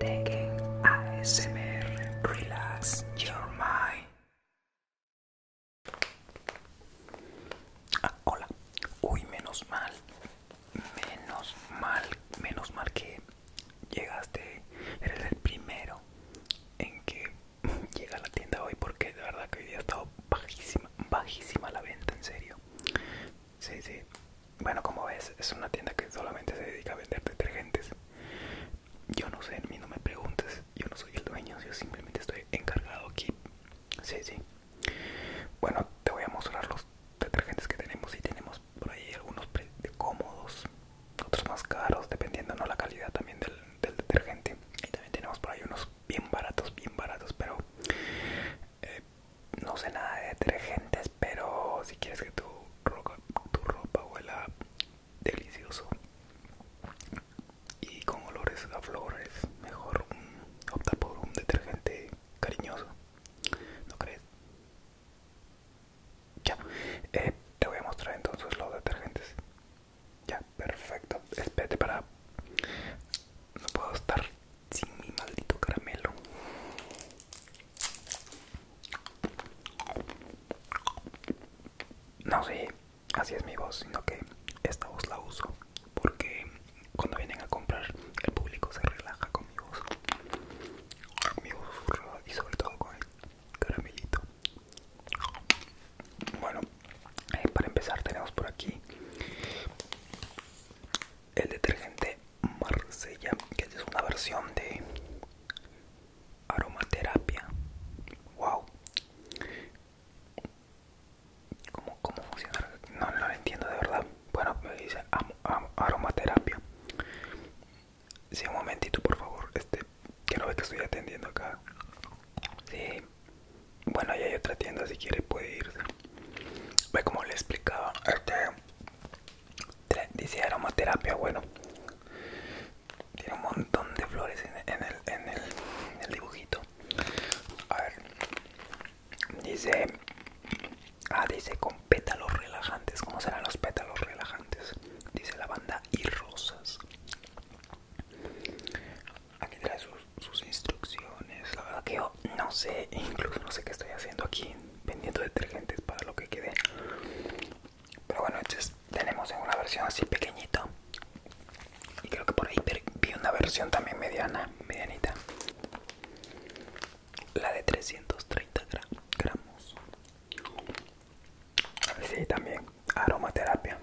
Tekken ASMR Relax Your Mind. Ah, hola. Uy, menos mal. Menos mal. Menos mal que llegaste. Eres el primero en que llega a la tienda hoy porque de verdad que hoy día ha estado bajísima, bajísima la venta, en serio. Sí, sí. Bueno, como ves, es una tienda que solamente se dedica a vender detergentes. Yo no sé, no me preguntes, yo no soy el dueño, yo simplemente estoy encargado aquí. Sí, sí. Bueno, te voy a mostrar los detergentes que tenemos y tenemos por ahí algunos cómodos, otros más caros, dependiendo no la calidad también del, del detergente. Y también tenemos por ahí unos bien baratos, bien baratos, pero eh, no sé nada de detergentes, pero si quieres que tu ropa, tu ropa huela delicioso y con olores a flores, mejor opta por un detergente cariñoso, ¿no crees? Ya, eh, te voy a mostrar entonces los detergentes. Ya, perfecto. Espérate para... No puedo estar sin mi maldito caramelo. No sé, así es mi voz, sino que esta voz la uso porque cuando vienen a comprar el público se relaja con mi voz. Mi voz y sobre todo con el caramelito. Bueno, eh, para empezar tenemos por aquí el detergente Marsella, que es una versión de aromaterapia. Wow. ¿Cómo, funciona? No, no lo entiendo de verdad. Bueno, me dice aromaterapia. si un momentito, por favor. Este, que no ve que estoy atendiendo acá. Sí. Bueno, ya hay otra tienda si quiere puede irse. Ve como le explicaba, este dice aromaterapia, bueno. Tiene un montón de flores en, el, dibujito. A ver. Dice. Ah, dice con pétalos relajantes. ¿Cómo serán los pétalos relajantes? Dice lavanda y rosas. Aquí trae sus sus instrucciones. La verdad que yo no sé, incluso no sé qué estoy haciendo aquí vendiendo detergentes para lo que quede. Pero bueno, tenemos en una versión así pequeñito. Y creo que por ahí vi una versión también mediana, medianita. La de 330 gramos. A ver si también aromaterapia.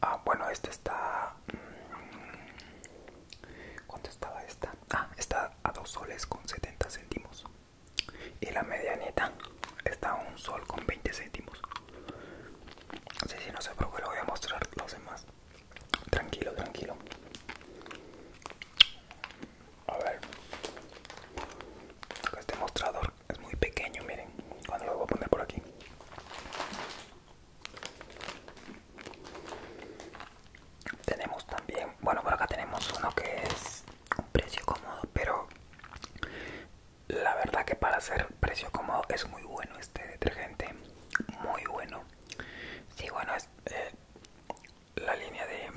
Ah, bueno, esta está... Mm, ¿Cuánto estaba esta? Ah, está a dos soles con 70 céntimos. Y la medianita está a un sol con 20 céntimos. Sí, sí, no por qué lo voy a mostrar los demás. Tranquilo, tranquilo. A ver. Este mostrador es muy pequeño, miren. Cuando lo voy a poner por aquí. Tenemos también, bueno por acá tenemos uno que es un precio cómodo, pero la verdad que para ser precio cómodo es muy bueno este detergente, muy bueno. Sí, bueno, es eh, la línea de,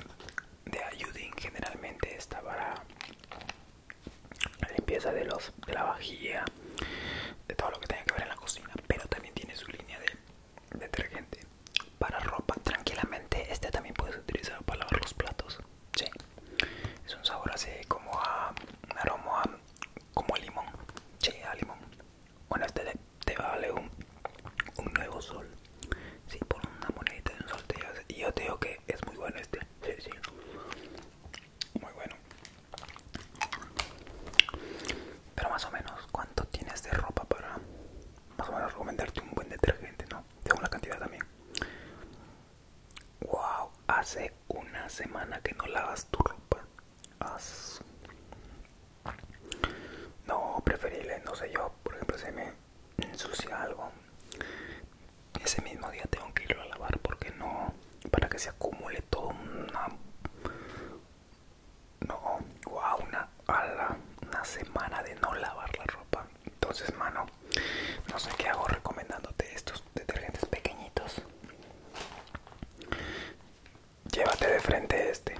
de generalmente está para la limpieza de los de la vajilla de todo lo que tenga que ver en la cocina pero también tiene su línea de detergente para ropa tranquilamente este también puedes utilizar para lavar los platos sí. es un sabor así como a un aroma como a limón sí, a limón bueno este te, va vale un, un nuevo sol sí, por una monedita de un sol te y yo te digo que es muy bueno este sí. Muy bueno. Pero más o menos, ¿cuánto tienes de ropa para más o menos recomendarte un buen detergente, no? Tengo la cantidad también. Wow, hace una semana que no lavas tu ropa. No, preferible, no sé, yo por ejemplo se me ensucia algo. Ese mismo día tengo que irlo a lavar porque no para que se acumule todo una no una a la, una semana de no lavar la ropa entonces mano no sé qué hago recomendándote estos detergentes pequeñitos llévate de frente este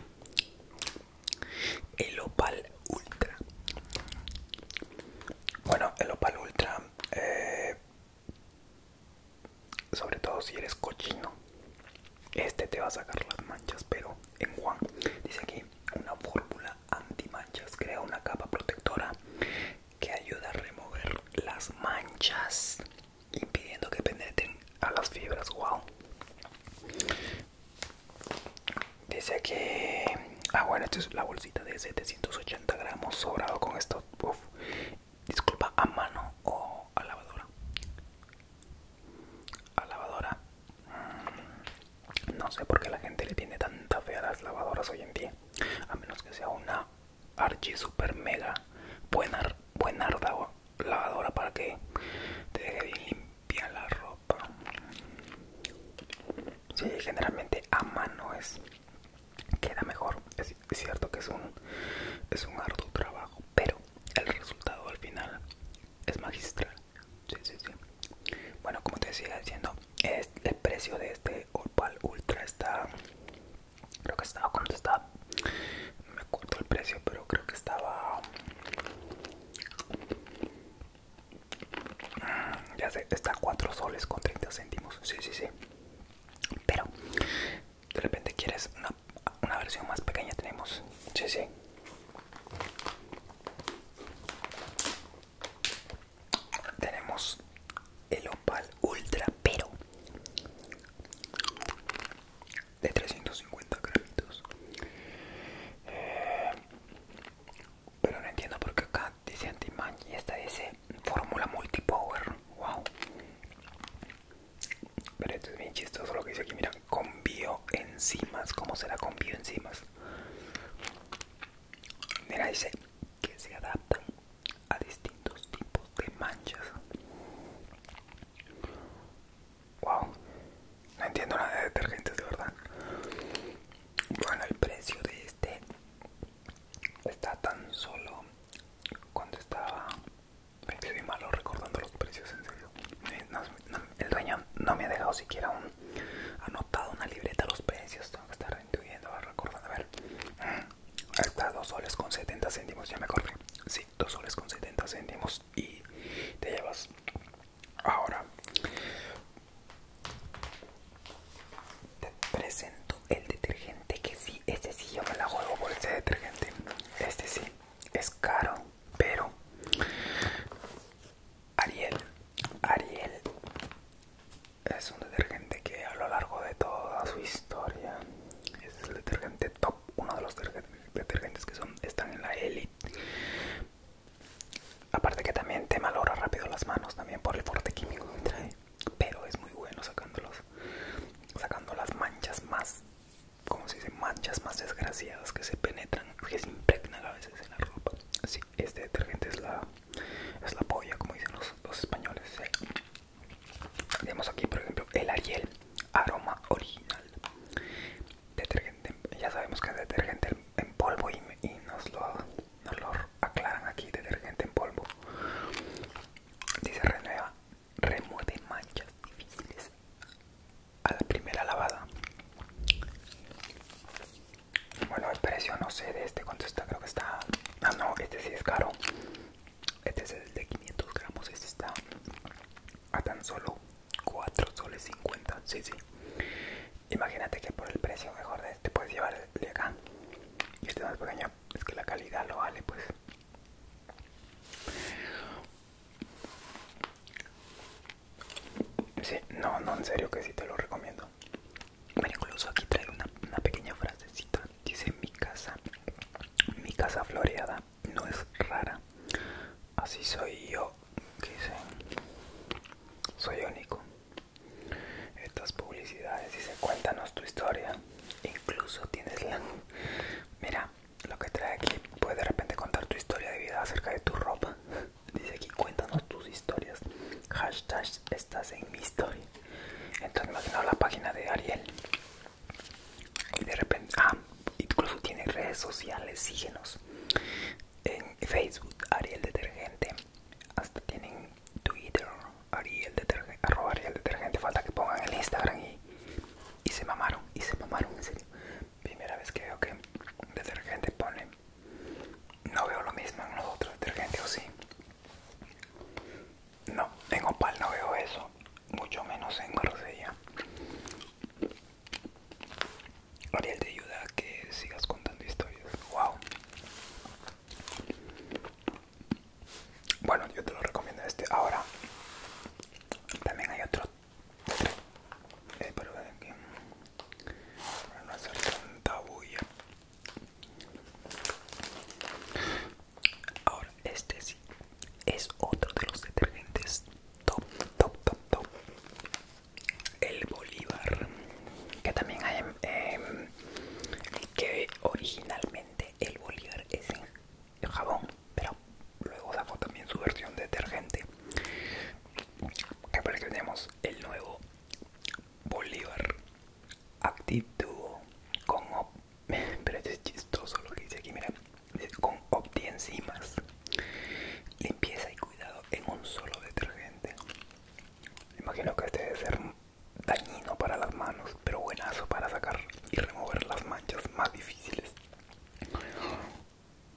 el opal ultra bueno el opal ultra eh, sobre todo si eres cochino este te va a sacar las manchas pero en Juan dice aquí una fórmula anti manchas crea una capa protectora que ayuda a remover las manchas impidiendo que penetren a las fibras wow dice que ah bueno esta es la bolsita de 780 gramos sobrado con esto disculpa a mano o a lavadora a lavadora no sé por qué la gente le tiene tanta fe a las lavadoras hoy en día a menos que sea una archi super mega buena buena lavadora para que te deje bien limpia la ropa sí generalmente a mano es queda mejor. Es cierto que es un, es un arduo trabajo, pero el resultado al final es magistral. Sí, sí, sí. Bueno, como te decía diciendo, es, el precio de este Opal Ultra está, creo que estaba cuando estaba, me acuerdo el precio, pero creo que estaba, mm, ya sé, está a 4 soles con 30 céntimos. Sí, sí, sí. Pero de repente quieres una, una versión más pequeña, tenemos. Sí, sí. Tenemos el Opal Ultra, pero de 350 gramitos. Eh, pero no entiendo por qué acá dice anti y esta dice fórmula multipower. Wow. Pero esto es bien chistoso lo que dice aquí. Mira, con bioenzimas. ¿Cómo será con bioenzimas? Mira, dice que se adaptan a distintos tipos de manchas. Wow, no entiendo nada de detergentes de verdad. Bueno, el precio de este está tan solo cuando estaba estoy malo recordando los precios en serio el dueño no me ha dejado siquiera un anotado una libreta los precios tengo que estar intuyendo recordando a ver está dos soles con 70 céntimos ya me acordé sí dos soles con 70 céntimos y te llevas ahora te presento el detergente que sí, este sí yo me la juego por este detergente. Este sí, es caro, pero Ariel, Ariel es un detergente que a lo largo de toda su historia es el detergente top, uno de los detergentes que son están en la élite. Aparte que también te malora rápido las manos también por el fuerte químico que trae pero es muy bueno sacándolos sacando las manchas más como manchas más desgraciadas que se penetran que se impregnan a veces en la ropa sí, este detergente es la es polla como dicen los, los españoles tenemos aquí por ejemplo el ariel aroma original detergente ya sabemos que es detergente en polvo y, y nos lo no lo aclaran aquí, detergente en polvo. Dice renueva, remueve manchas difíciles a la primera lavada. Bueno, el precio no sé de este cuánto está, creo que está... Ah, no, este sí es caro. Este es el de 500 gramos, este está a tan solo 4 soles 50, sí, sí. Imagínate que por el precio mejor de te puedes llevar de acá este más pequeño es que la calidad lo vale pues sí no no en serio que sí te lo recomiendo bueno, incluso aquí trae una, una pequeña frasecita dice mi casa mi casa floreada no es rara así soy yo que soy único estas publicidades dice cuéntanos tu historia incluso tienes la mira lo que trae aquí puede de repente contar tu historia de vida acerca de tu ropa dice aquí cuéntanos tus historias hashtag estás en mi historia entonces imagino la página de Ariel y de repente ah incluso tiene redes sociales síguenos en Facebook Ariel Detergente hasta tienen Twitter, Ariel detergente, arroba detergente, falta que pongan el Instagram y, se mamaron, y se mamaron en serio. Primera vez que veo que detergente pone, no veo lo mismo en los otros detergentes o sí. No, en Opal no veo eso, mucho menos en Rosella Ariel te ayuda a que sigas contando historias. Wow. Bueno, yo te lo recomiendo este. Ahora, también hay otro. Eh, pero aquí. Para no hacer tanta bulla. Ahora, este sí. Es otro de los detergentes top, top, top, top el bolívar que también hay em, que originalmente el bolívar es en jabón pero luego sacó también su versión detergente que para que tenemos el nuevo bolívar duo con pero es chistoso lo que dice aquí mira con opti enzimas limpieza y cuidado en un solo detergente Imagino que este debe ser dañino para las manos, pero buenazo para sacar y remover las manchas más difíciles.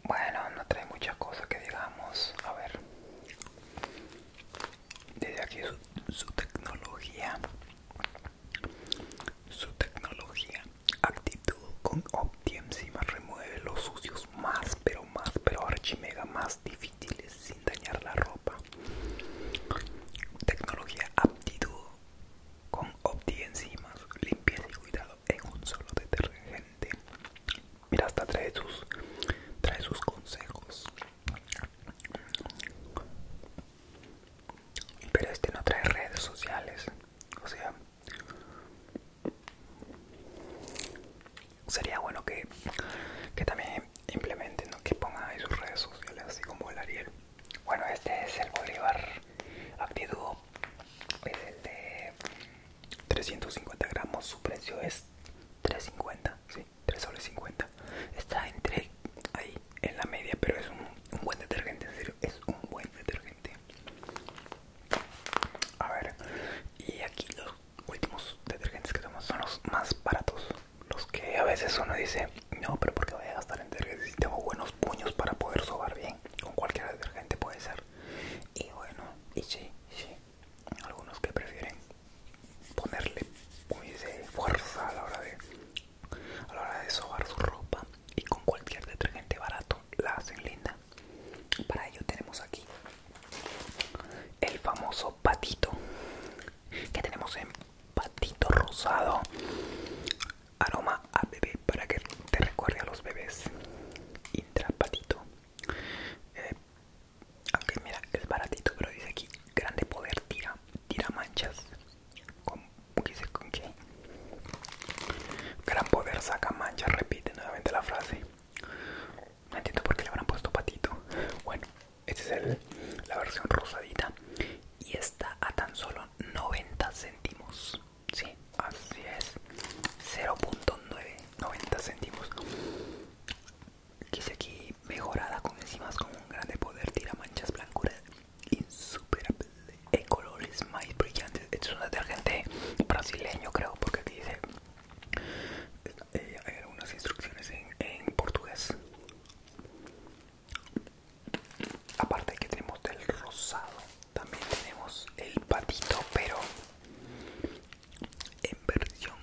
Bueno, no trae muchas cosas que digamos. A ver, desde aquí su, tecnología, su tecnología, actitud con más remueve los sucios más, pero más, pero mega más difíciles sin dañar la ropa. Tecnología aptitud con Opti-Enzimas. limpieza y cuidado en un solo detergente. Mira, hasta trae sus, trae sus consejos. Pero este no trae redes sociales. O sea sería bueno que, también implementen, ¿no? que pongan ahí sus redes sociales, así como el Ariel. Bueno, este es el Bolívar ActiDuo, es el de 350 gramos, su precio es 3.50, sí, 3 soles 50. Está entre ahí, en la media, pero es un, buen detergente, en serio, es un buen detergente. A ver, y aquí los últimos detergentes que tenemos son los más baratos. Los que a veces uno dice, no, pero porque voy a gastar en detergentes si tengo buenos puños para poder sobar bien. Con cualquier detergente puede ser. Y bueno, y sí, sí. Algunos que prefieren ponerle fuerza a la hora de a la hora de sobar su ropa y con cualquier detergente barato la hacen linda para ello tenemos aquí el famoso patito que tenemos en patito rosado. Aroma a bebé para que te recuerde a los bebés. Intrapatito. Eh, aunque mira, es baratito, pero dice aquí grande poder tira, tira manchas. Con, dice con qué. Gran poder saca manchas, repite nuevamente la frase. No entiendo por qué le habrán puesto patito. Bueno, esta es la versión rosadita. Y está a tan solo 90 céntimos. Sí, así es. 0.990 céntimos. dice aquí mejorada con encimas con un grande poder. Tira manchas blancuras insuperable. en colores más brillantes. Esto es un detergente brasileño, creo, porque aquí dice eh, hay algunas instrucciones en, portugués aparte que tenemos del rosado también tenemos el patito pero en versión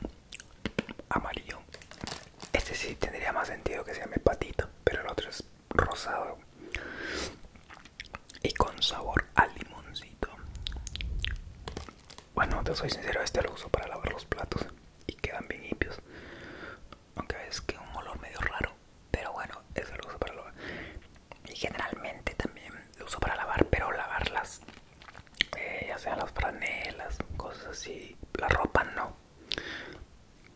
amarillo este sí tendría más sentido que se llame patito pero el otro es rosado y con sabor a limoncito bueno, te soy sincero, este lo uso para lavar los platos y quedan bien limpios. Aunque es que un olor medio raro, pero bueno, es lo uso para lavar. Y generalmente también lo uso para lavar, pero lavarlas, eh, ya sean las franelas, cosas así, la ropa no.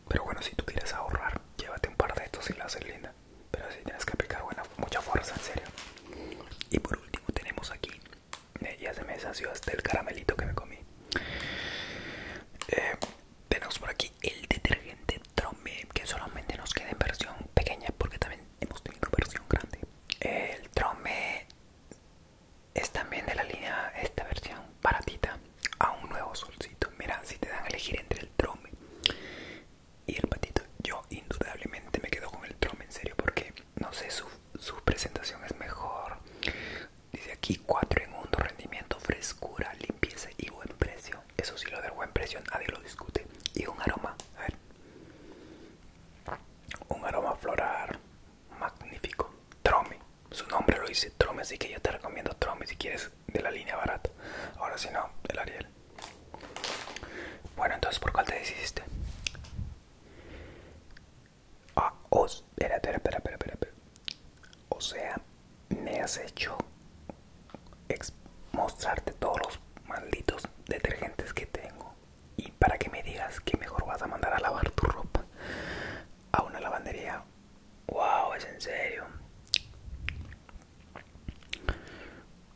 Pero bueno, si tú quieres ahorrar, llévate un par de estos y la haces linda. Pero si tienes que aplicar mucha fuerza, en serio. Y por último, tenemos aquí. Eh, ya se me deshació hasta el caramelito que me comí. Eh, tenemos por aquí el detergente Trome, que solamente nos queda en versión pequeña porque también hemos tenido versión grande. El Trome es también de la línea, esta versión baratita, a un nuevo solcito. Mira, si te dan a elegir entre el Trome y el patito. Yo indudablemente me quedo con el Trome en serio, porque no sé, su, su presentación es mejor. Dice aquí 4 en 1, rendimiento, frescura, limpieza y buen precio. Eso sí, lo del buen precio nadie lo discute. Y un aroma, a ver. Un aroma floral magnífico. Trome, su nombre lo dice Trome, así que yo te recomiendo Trome si quieres de la línea barata. Ahora si no, el Ariel. Bueno, entonces, ¿por qué te decidiste? Ah, espera, espera, espera, espera, espera. O sea, me has hecho mostrarte todos los malditos detergentes que tengo y para que me digas que mejor vas a mandar a lavar tu ropa a una lavandería. Wow, es en serio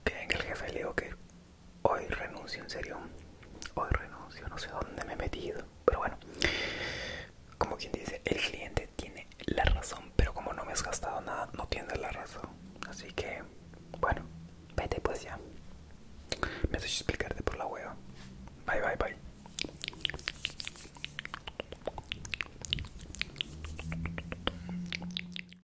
que el jefe le digo que hoy renuncio en serio hoy renuncio no sé dónde me he metido pero bueno como quien dice el cliente tiene la razón pero como no me has gastado nada no tienes la razón así que bueno vete pues ya me has hecho explicarte por la hueva bye bye bye